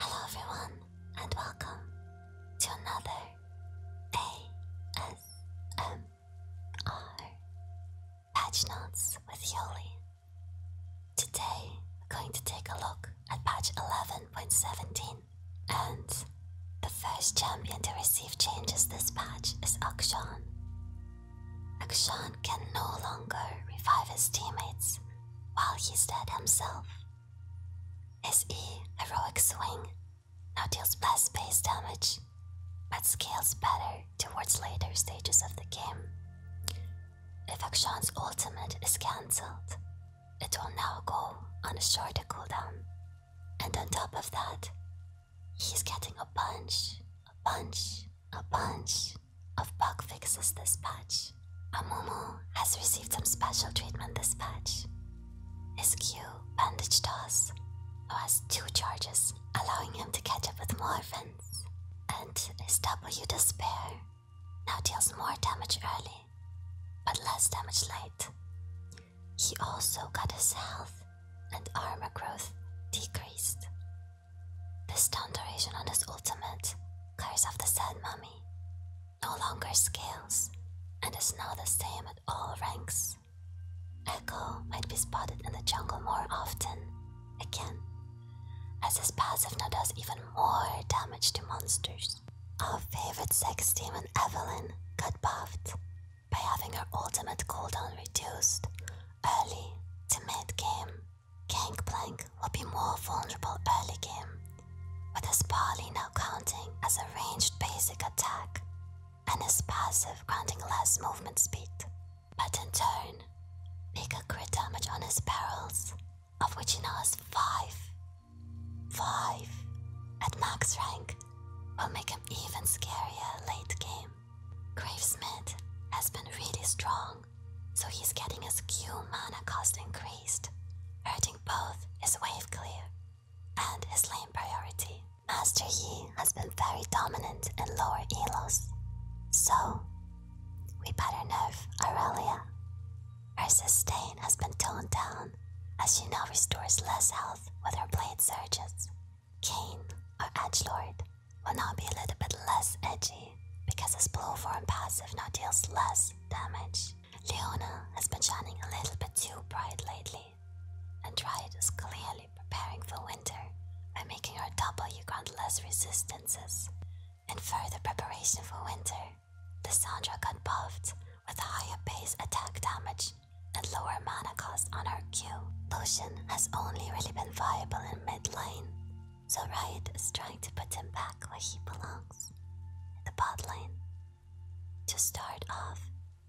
Hello, everyone, and welcome to another ASMR Patch Notes with Yoli. Today, we're going to take a look at patch 11.17, and the first champion to receive changes this patch is Akshan. Akshan can no longer revive his teammates while he's dead himself. SE Heroic Swing now deals less base damage, but scales better towards later stages of the game. If Akshan's ultimate is cancelled, it will now go on a shorter cooldown. And on top of that, he's getting a punch, a punch, a punch of bug fixes this patch. Amumu has received some special treatment this patch. His Q, Bandage Toss, has two charges, allowing him to catch up with more friends. And his W Despair now deals more damage early, but less damage late. He also got his health and armor growth decreased. This down duration on his ultimate, Curse of the Sandman no longer scales, and is not the same at all ranks. Echo might be spotted in the jungle more often, again, as his passive now does even more damage to monsters. Our favorite sex demon Evelyn got buffed by having her ultimate cooldown reduced early to mid game. Gangplank will be more vulnerable early game, with his parley now counting as a ranged basic attack, and his passive granting less movement speed. But in turn, make a crit damage on his barrels, of which he now has 5. 5 at max rank will make him even scarier late game. Gravesmith has been really strong so he's getting his Q mana cost increased, hurting both his wave clear and his lane priority. Master Yi has been very dominant in lower Elos, so we better nerf Aurelia. Her sustain has been toned down as she now restores less health with her blade surges. Kane, or Lord will now be a little bit less edgy because his blow form passive now deals less damage. Leona has been shining a little bit too bright lately, and Dryad is clearly preparing for winter by making her W grant less resistances. In further preparation for winter, Lissandra got buffed with higher base attack damage and lower mana cost on her Q. Lucian has only really been viable in mid lane, so Riot is trying to put him back where he belongs, the bot lane. To start off,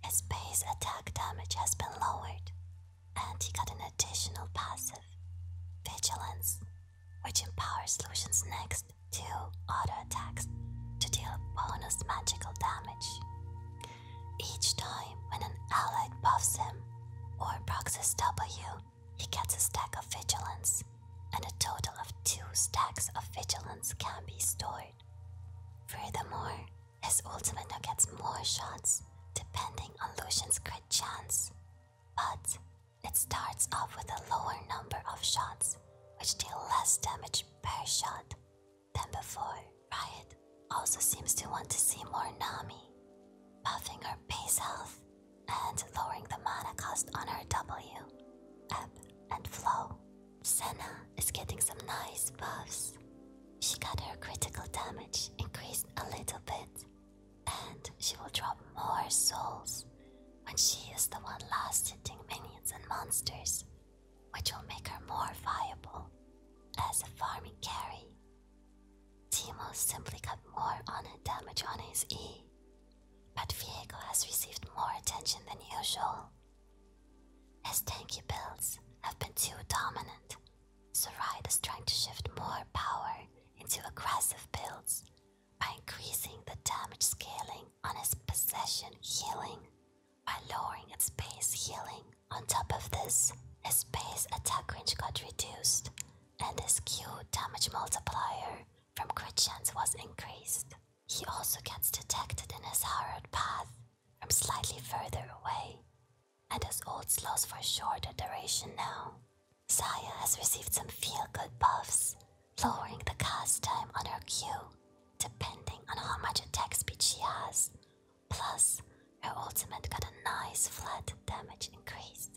his base attack damage has been lowered, and he got an additional passive, Vigilance, which empowers Lucian's next two auto attacks to deal bonus magical damage. Each time when an ally buffs him or procs W, he gets a stack of vigilance, and a total of two stacks of vigilance can be stored. Furthermore, his ultimate now gets more shots depending on Lucian's crit chance, but it starts off with a lower number of shots, which deal less damage per shot than before. Riot also seems to want to see more Nami, buffing her base health and lowering the mana cost on her W, and flow. Senna is getting some nice buffs. She got her critical damage increased a little bit, and she will drop more souls when she is the one last hitting minions and monsters, which will make her more viable as a farming carry. Timos simply got more on damage on his E, but Viego has received more attention than usual. His tanky builds have been too dominant, so Raid is trying to shift more power into aggressive builds by increasing the damage scaling on his possession healing by lowering its base healing. On top of this, his base attack range got reduced and his Q damage multiplier from crit chance was increased. He also gets detected in his harrowed path from slightly further away, and his ult slows for a shorter duration now. Saya has received some feel-good buffs, lowering the cast time on her Q depending on how much attack speed she has, plus her ultimate got a nice flat damage increase.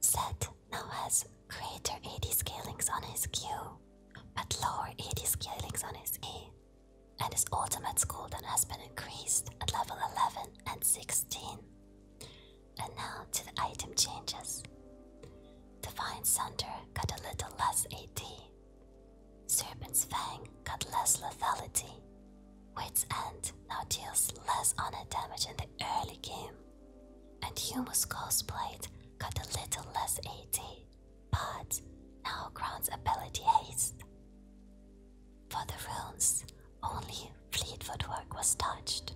Set now has greater AD scalings on his Q, but lower AD scalings on his E, and his ultimate cooldown has been increased at level 11 and 16. And now to the item changes. Divine Sunder got a little less AD. Serpent's Fang got less lethality. Wits End now deals less honor damage in the early game, and Humus Coldblade got a little less AD, but now grants ability haste. For the runes, only Fleetfootwork was touched.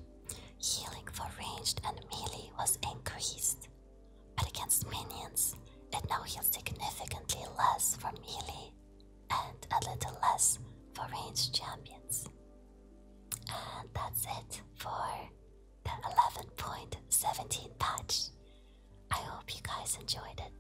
Healing for ranged and melee was increased, but against minions, it now heals significantly less from melee and a little less for ranged champions. And that's it for the 11.17 patch. I hope you guys enjoyed it.